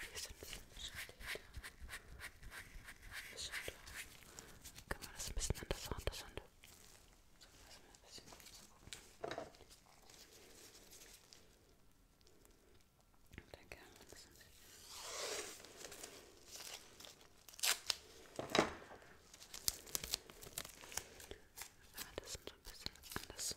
Hier ist ein bisschen beschädigt. Ein bisschen da. Können wir das ein bisschen an das Hand, das Hand. So, lassen wir ein bisschen gucken. Danke, ah, das sind wir das so ein bisschen anders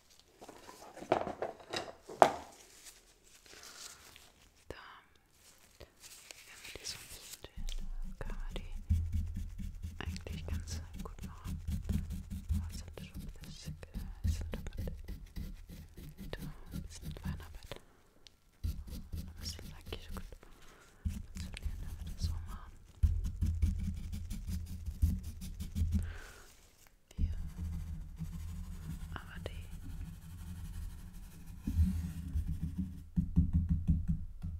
wenn wir die so ein bisschen drehen, kann man die eigentlich ganz gut machen. Aber sind schon ein bisschen, sind damit da ein bisschen Feinarbeit. Aber es ist eigentlich so gut funktionieren, wenn wir das so machen. Wir aber die.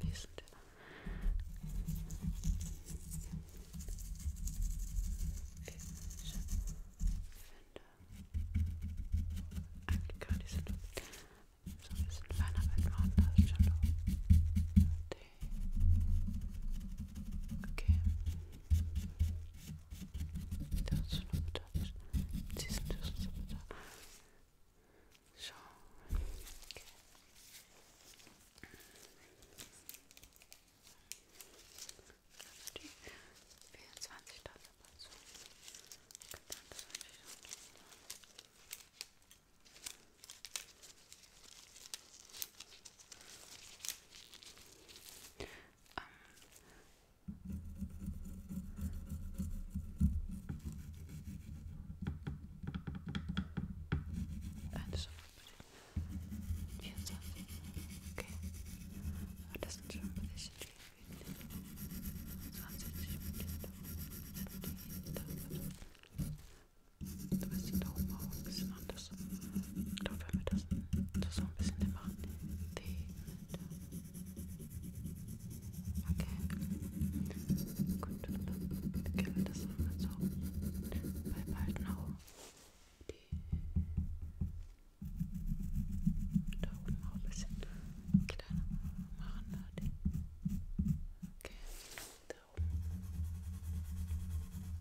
Wie ist denn der? Ich finde eigentlich gar nicht so dumm. So ein bisschen feiner Welt machen, da ist schon dumm. Okay das noch das. Sie sind das so da. So. Okay. Die 24 Dollar so. Genau, das wollte ich auch noch mal. Ähm. Eins, vier, Okay. Aber ah, das sind schon ein bisschen viel. 20 Minuten. Du bist die Daumen hoch, ein bisschen runter. Griffs. Dann können wir das, das so ein bisschen machen. Okay. Gut, dann beginnen wir das nochmal so. Weil bald noch die da oben auch ein bisschen kleiner machen. Die. Okay, da oben.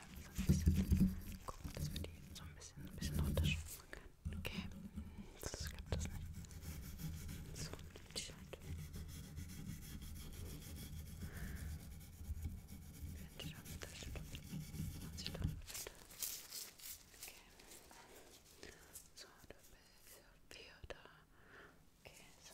Gucken, dass wir die so ein bisschen, ein bisschen runterschwimmen können. Okay, das klappt das nicht. So, die Seite. Wenn ich auf das Stück. Und sich dann Okay. So, du bist ja wieder da. Okay, so.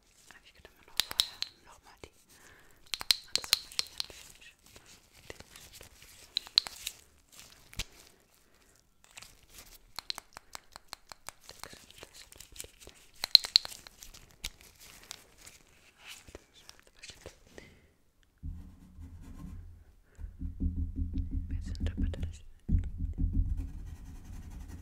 Aber ich könnte mir noch vorher nochmal die. Das ist auch wir sind aber da.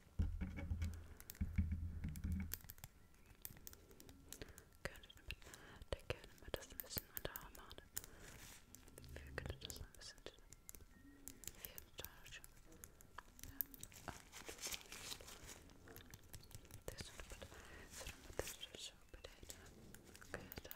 Könnte mit der Kerne mal das ein bisschen unterhaben. Wir können das ein bisschen hier Tasche. Ja. This one, but this one, but this is so potato. Good. Okay.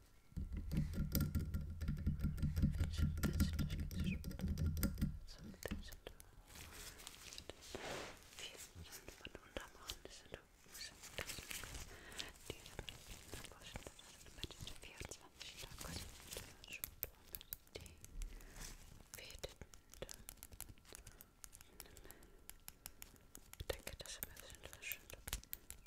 Ich denke, das ist ein bisschen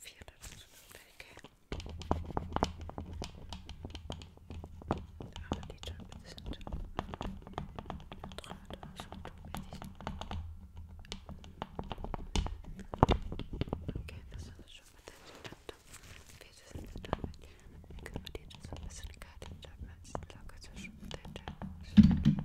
vier davon sind schon weg. Aber die Jumps sind dran, da schon Okay, das ist schon mal der Jump. Wir sind damit. Können wir die jetzt ein bisschen kalt haben, als die Lage zwischen den Jumps.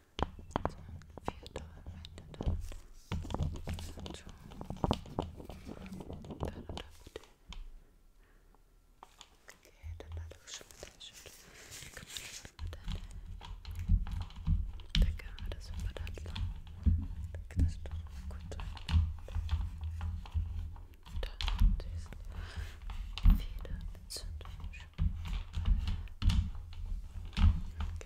Feder mit Zündung.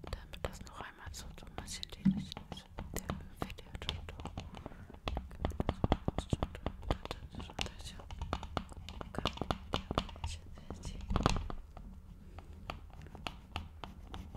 Und damit das noch einmal so, so ein bisschen dämlich ist, der Video-Tutor. Okay,